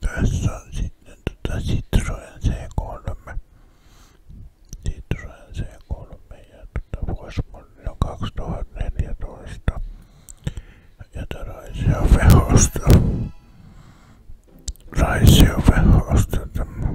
Tässä on sitten tota Citroen C3. Citroen C3 ja tota vuosimalli on 2014. Ja tää Raisio Vehosta. Raisio Vehosta tämä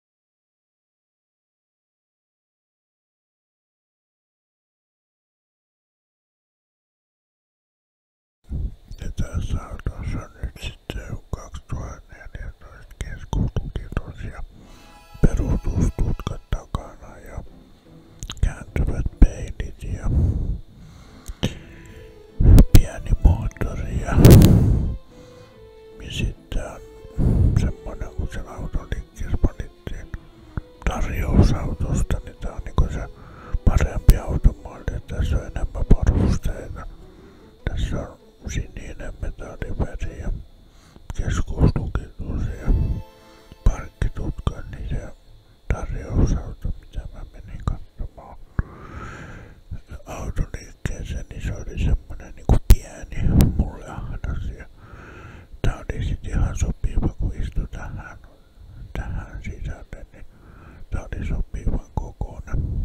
Ja tässä autossa nyt sitten 2014 keskustukitos ja perustustutkat takana ja kääntyvät peilit ja pieni moottori ja ja sitten on semmonen, kun sen auton liikkeessä panittiin tarjousautosta, niin tää on niinku se on enemmän varusteita. Tässä on sininen metalliveri ja keskuslukitus ja parkkitutka, niin se tarjousauto, mitä katsomaan. Auto niin liikkeensä, niin se oli semmonen niinku pieni mulle ahdas. Ja tää oli sit ihan sopiva, kun istui tähän, tähän sisälle, niin tää oli sopivan kokoinen.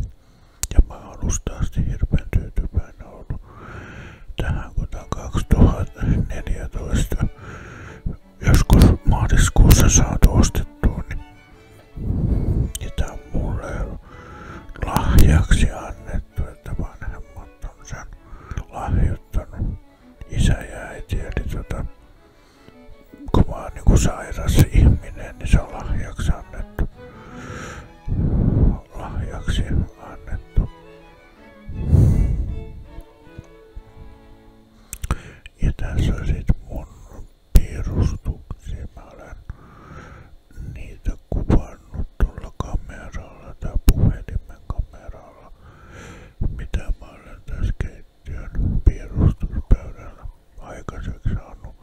Ja mä alusta asti hirveän tyytyväinen ollut tähän, kun tää 2014 joskus maaliskuussa saatu ostettua, niin sitä on mulle lahjaksi annettu, että vanhemmat on sen lahjoittanut. Isä ja äiti, eli tota, kun mä oon niinku sairas ihminen, niin se on lahjaksi annettu. Lahjaksi annettu. Ja tässä on sit mun piirustuksia. Mä olen niitä kuvannut tuolla kameralla tai puhelimen kameralla, mitä mä olen tässä keittiön piirustuspöydällä aikaiseksi saanut.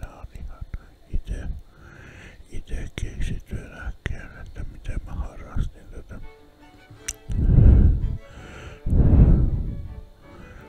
Nämä on ihan itse, itse keksittyä lääkkeen, että miten mä harrastin tätä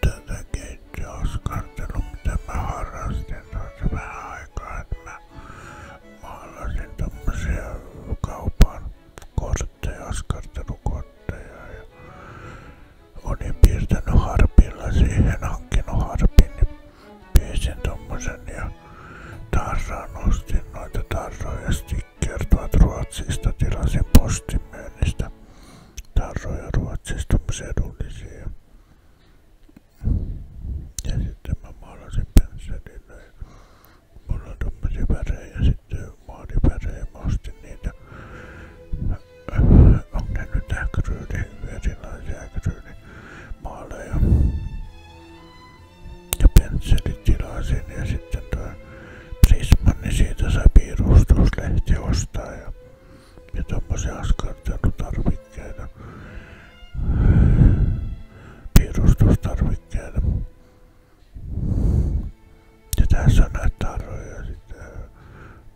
tätä keittiöaskartelua, mitä mä harrastin tuossa vähän aikaa, että mä maalasin tommosia kaupan kortteja, askartelukortteja ja olin piirtänyt harpilla siihen, hankkinut harpin, niin piirsin tommosen ja tarraan ostin noita tarroja stickertuat Ruotsista, tilasin postimyynnistä tarroja Ruotsista edullisia. Ja sitten mä maalasin pensselillä ja mulla on tommosia värejä ja sitten maalivärejä mä ostin niitä. On ne nyt äkryyni, erilaisia äkryyni maaleja. Ja pensselit tilasin ja sitten tuo Prisman, niin siitä sai piirustuslehti ostaa ja ja tämmöisiä askarteltutarvikkeita, piirustustarvikkeita. Ja tässä on näitä tarroja sitten.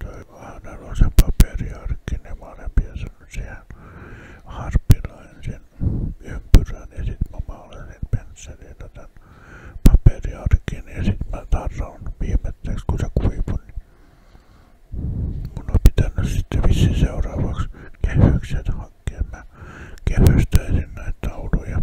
Toi Ahnalla on se paperiarkki, niin mä olen piirtänyt siihen harpilla ensin ympyrän ja sitten mä maalan sen pensselillä tämän paperiarkin ja sitten mä tarron viimetteeksi kun se kuivun, niin Mun on pitänyt sitten vissiin seuraavaksi kehykset hakkeen. Mä kehystöisin näitä tauluja.